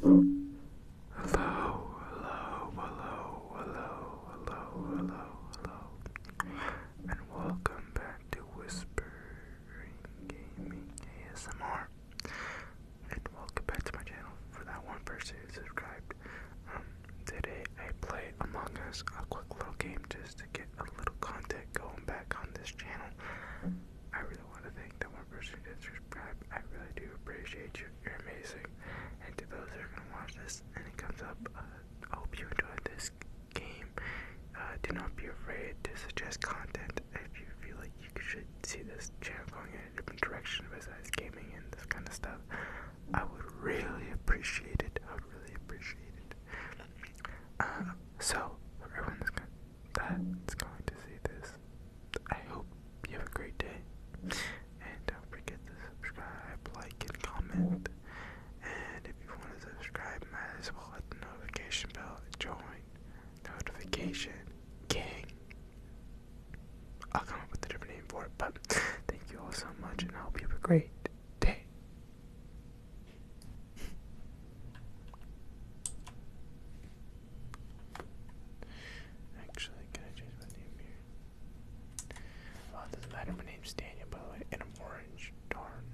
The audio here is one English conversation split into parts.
Hello, hello, hello, hello, hello, hello, hello, and welcome back to Whispering Gaming ASMR. And welcome back to my channel for that one person subscribed. Um, today I play Among Us, a quick little game just to get a little content going back on this channel. I really want to thank the one person who did subscribe. I really do appreciate you. You're amazing. And to those who are going to watch this and it comes up, uh, I hope you enjoyed this game. Uh, do not be afraid to suggest content if you feel like you should see this channel going in a different direction besides gaming and this kind of stuff. I would really appreciate it. I would really appreciate it. Uh, so, for everyone that's going to see this. I hope you have a great day. And don't forget to subscribe, like, and comment. And if you want to subscribe, might the notification bell join. Notification gang. I'll come up with a different name for it, but thank you all so much and I hope you have a great day. Actually, can I change my name here? Oh, doesn't matter. My name's Daniel, by the way, and I'm orange. Darn.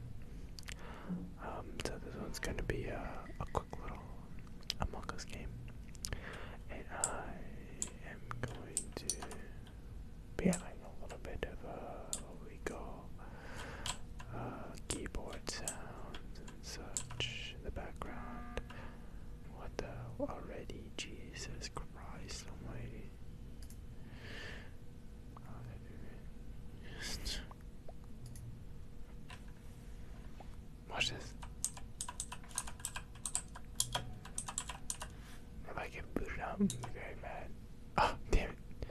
Um, so this one's gonna be uh, a, quick little Among game, and I am going to be having a little bit of uh, a we call uh, keyboard sound Search the background. What the already? Jesus Christ Almighty. Just watch this. If I get booted out, I'm very mad. Oh, damn it.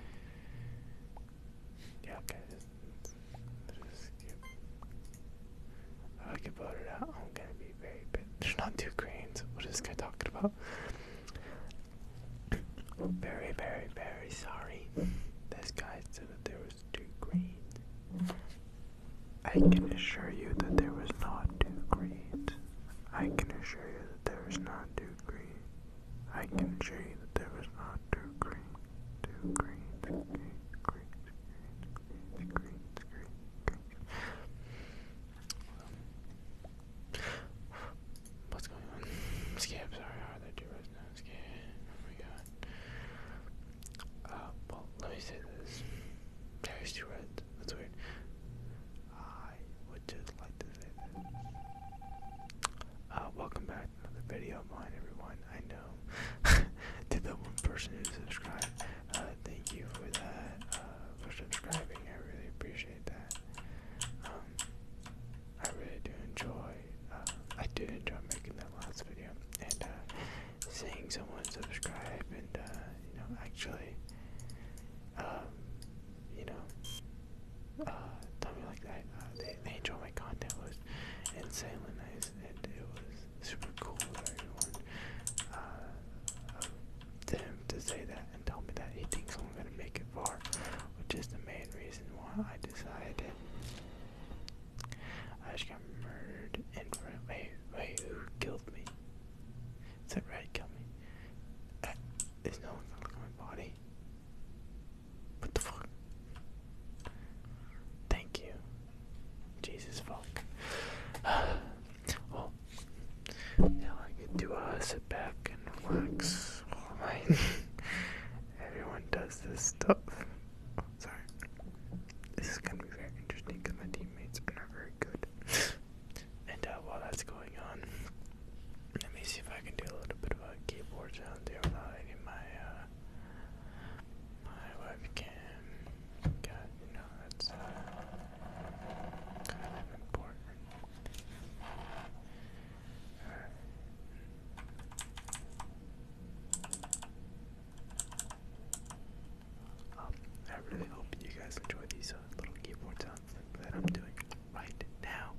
Yeah, okay, this just get, if I out, I'm gonna be very There's not two greens. What is this guy talking about? Very, very, very sorry. This guy said there was two greens. I can assure you that there was not two greens. I can assure you that there was not two greens. I can show you that there was not two green, two green, green, green, green, green, green, green, green. What's going on? Skip, sorry, how are there two rows now? Skip, oh my god. Uh, well, let me say this. There's two reds, that's weird. I would just like to say this. Uh, welcome back another video of mine, everyone. I know. to the one person who subscribed, uh, thank you for that, uh, for subscribing. I really appreciate that. Um, I really do enjoy, uh, I did enjoy making that last video, and, seeing someone subscribe, and, you know, actually, um, you know, uh, tell me like that. Uh, they, enjoy my content. It was insanely nice, and it was super cool uh, of everyone them to say that and tell me that he thinks I'm gonna make it far, which is the main reason why I decided. I just got murdered in front. of who killed me? Is that right? Killed there's no one going at my body. What the fuck? Thank you. Jesus fuck. well, now I get to sit back and relax Everyone does this stuff. sorry. This is gonna be very interesting because my teammates are not very good. And uh, while that's going on, let me see if I can do a little bit of a keyboard sound there without any my uh, my webcam. God, you that's uh, kind of important. I really hope you guys enjoy these uh, little keyboard sounds that I'm doing right now,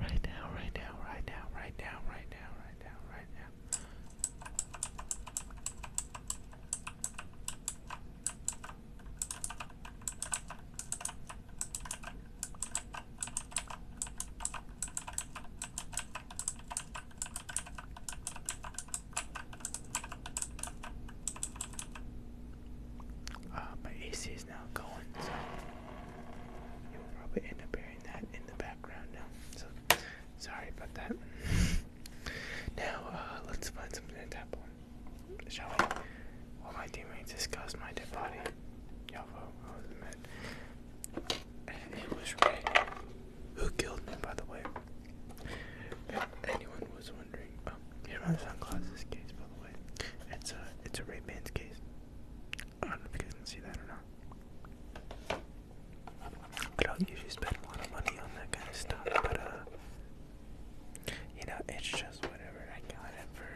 right now, right now, right now, right now, right now, right now, right now. Uh, my AC is now going, so you will probably end up hearing that in the background now. So sorry about that. now uh, let's find something to tap on, shall we? While my teammates discussed my dead body, Yavo, I was mad. It was right. Who killed me, by the way? If anyone was wondering, oh, here's sunglasses case, by the way. It's a it's a Ray Bans case. I don't know if you can see that or not. I usually spend a lot of money on that kind of stuff, but uh, you know, it's just whatever. I got it for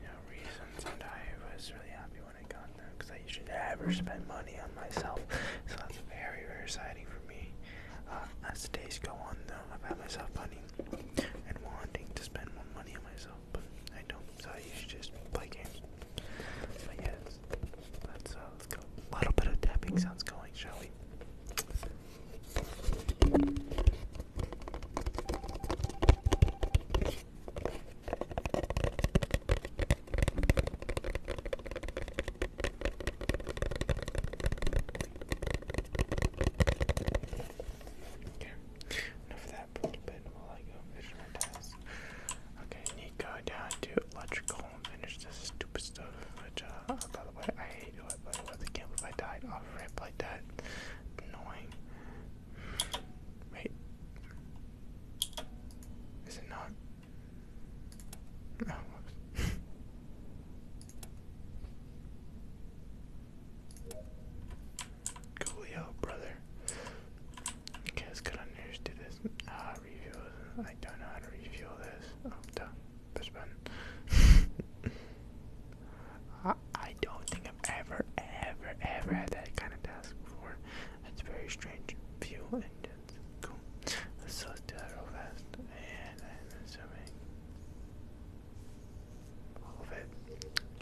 you know reasons, and I was really happy when I got them because I usually never spend money on myself, so that's very very exciting for me. Uh, as the days go on, though, I've had myself money and wanting to spend more money on myself, I don't, so I usually just play games. But yes, let's go. A little bit of tapping sounds going, shall we? Okay, enough I need to go down to electrical and finish this stupid stuff, which, uh, by the way, I hate it, by the way, I can't believe I died off ramp like that. Annoying. Wait. Is it not? Oh, Coolio, brother. Okay, let's get on news to this. Ah, refuel. I don't know how to refuel this. Oh, duh. Push button. I, I don't think I've ever, ever, ever had that kind of task before. That's very strange. Fuel engines. Cool. Let's do that real fast. And I'm assuming all of it.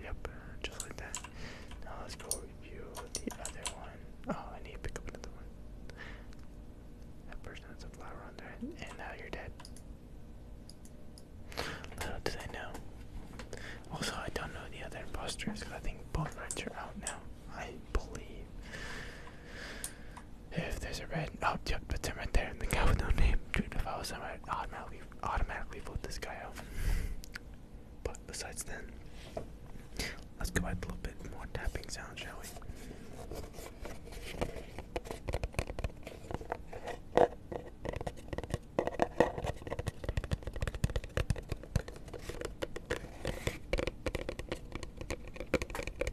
Yep, just like that. Now let's go review the other one. Oh, I need to pick up another one. That person has a flower on their head, and now you're dead. Little did I know. Also, I don't know the other imposters I think both rights are out now. I believe. If there's a red, oh, yep, that's him right there. And the guy with no name. Dude, if I was him, I'd automatically, automatically vote this guy out. But besides then, let's go add a little bit more tapping sound, shall we?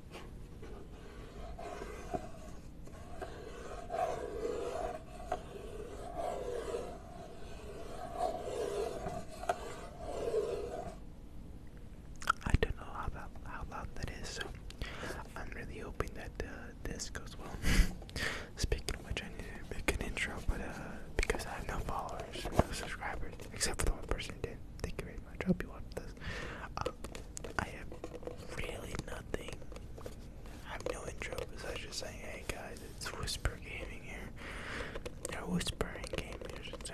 I don't know how loud, that is, so I'm really hoping that uh, this goes well. Speaking of which, I need to make an intro, but uh, because I have no followers, no subscribers, except for the one person who did. Thank you very much. I hope you watched this. I have really nothing. I have no intro besides just saying, hey guys, it's Whisper Gaming here. Or Whispering Gaming, I should say.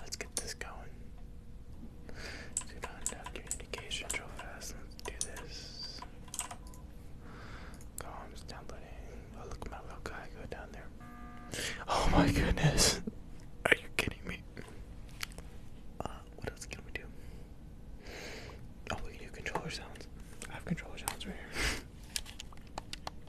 Let's get this going. Do not have communication real fast. Let's do this. Columns downloading. Oh look at my little guy go down there. Oh my goodness. Are you kidding me? Uh, what else can we do? Oh, we can do controller sounds. I have controller sounds right here.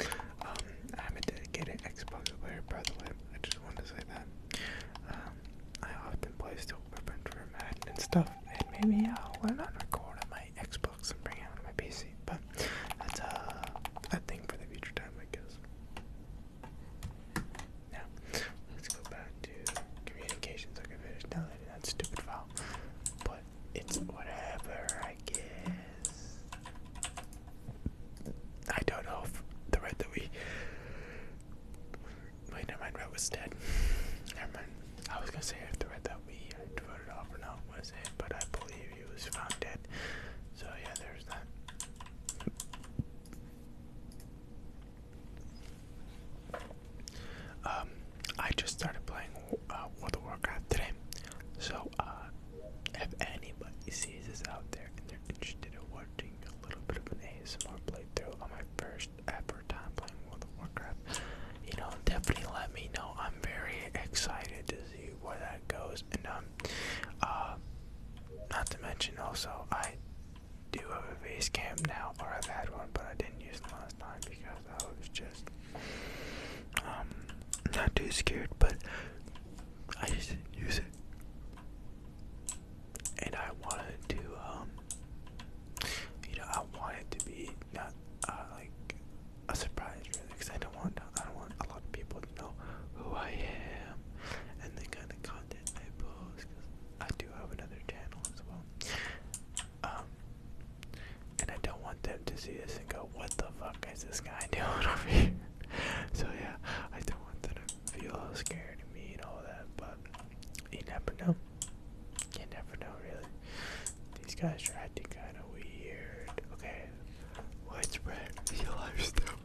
I'm um, a dedicated Xbox player, by the way. I just wanted to say that. Um, I often play still Weapon for Madden and stuff, and maybe I'll learn how to record on my Xbox and bring out on my PC, but that's uh, a thing for the future time, I guess. Now, let's go back to communications. I can finish downloading that stupid file, but it's whatever I get is. I don't know if the red that we. Wait, never mind, red was dead. Never mind. I was gonna say if the red that we voted off or not was it, but I believe he was found dead. So yeah, there's that. Um, I just started playing uh, World of Warcraft today, so uh, if anybody sees this out there and they're interested in watching a little bit of an ASMR playthrough on my first ever time playing World of Warcraft, you know, definitely let me know. I'm very excited to see where that goes, and um, uh, not to mention also I do have a base cam now, or I've had one, but I didn't use it last time because I was just um not too scared, but I just use it, and I wanted to, um, you know, I want it to be not uh, like a surprise, really, because I don't want, I don't want a lot of people to know who I am and the kind of content I post. Cause I do have another channel as well. Um, and I don't want them to see this and go, what the fuck is this guy doing over here? so yeah, I don't want them to feel scared of me and all that, but you never know. You never know really. These guys are acting kinda weird. Okay. Widespread media lifestyle.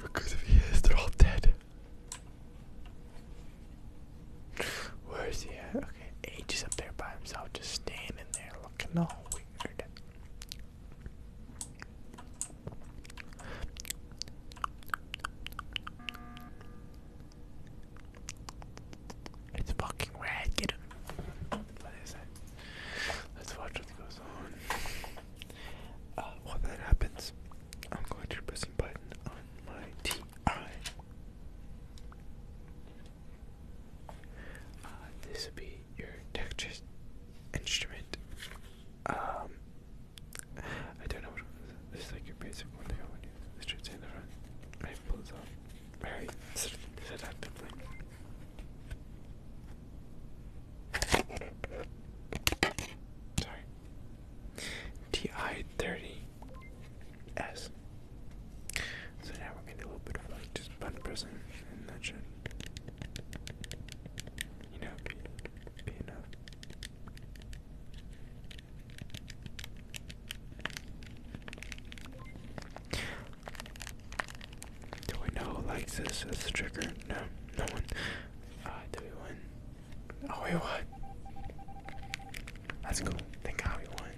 Because if he is, they're all dead. Where is he at? Okay, H is up there by himself, just standing there looking all weird. It's fucking red, get him. Let's watch what goes on. Uh, while that happens, I'm going to press a button on my TI. Uh, this would be your texture instrument. Um, I don't know what this is like your basic one. They when you this should in the front. I pull this off. Very Sorry. TI thirty S. So now we're gonna do a little bit of like just button pressing, and that should, you know, be, enough. Do we know who likes this as a trigger? No, no one. Uh, do we win? Oh wait, what? That's cool. Thank God we won.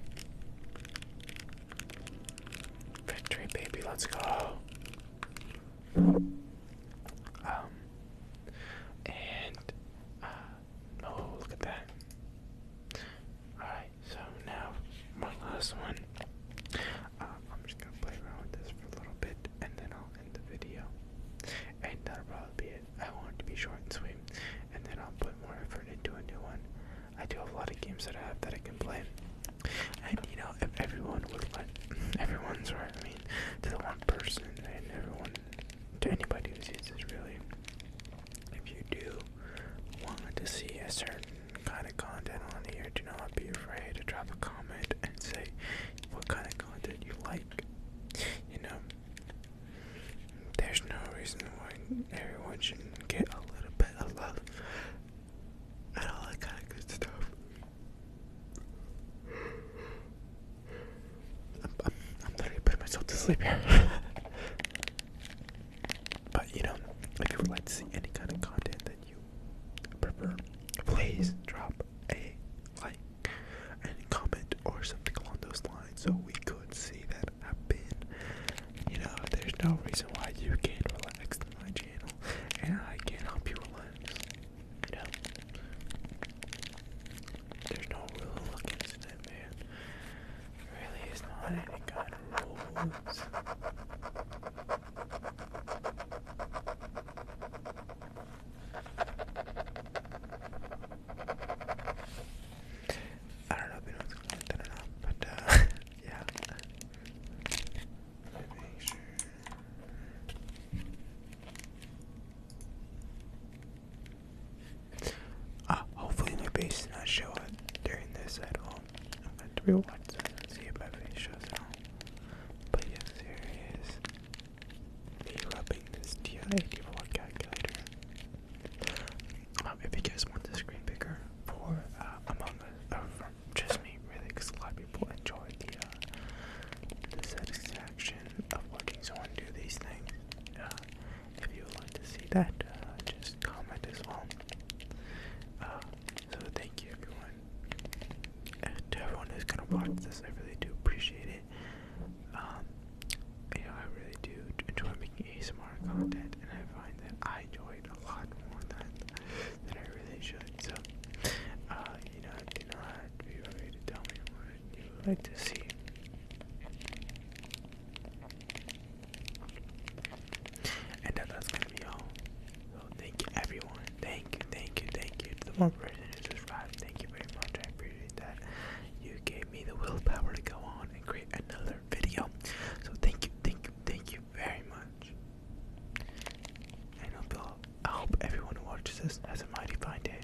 Victory, baby. Let's go. Um, and uh, oh, look at that. All right, so now one last one. Uh, I'm just gonna play around with this for a little bit, and then I'll end the video. And that'll uh, be it. I want to be short and sweet, and then I'll put more effort into a new one. I do have a lot of games that I have that I can play, and you know, if everyone would let, everyone's right. I mean, to the one person and everyone, to anybody who sees this, really. If you do want to see a certain kind of content on here, do not be afraid to drop a comment and say what kind of content you like. You know, there's no reason why everyone shouldn't get a little bit of love and all that kind of good stuff. I'm literally putting myself to sleep here. but you know, if you would like to see any kind of content that you prefer, please drop a like, any comment or something along those lines so we could see that happen. You know, there's no reason why you can't relax on my channel, and I can help you relax. You know, there's no rule against it, man. really is not any kind of rules. I don't know if anyone's commenting or not, but uh, yeah. Let ah, hopefully my face does not show up during this at all. I'm going to rewatch see if my face shows up. But yes, here it is derubbing this TI-84 calculator. Um, if you guys want the screen bigger for uh, Among just me, really, because a lot of people enjoy uh, the, satisfaction of watching someone do these things. Uh, if you would to see that, uh, just comment as well. so thank you everyone. And to everyone who's gonna watch this, I really do appreciate it it. Um, I really do enjoy making ASMR content, and I find that I enjoy it a lot more than than I really should. So, uh, you know, do not be afraid to tell me what you would like to see. And that, that's gonna be all. So thank you, everyone. Thank you, thank you, thank you the one person who subscribed. Thank you very much that. You gave me the willpower to go on and create another video. So thank you, thank you, thank you very much. And hope I hope everyone who watches this has a mighty fine day.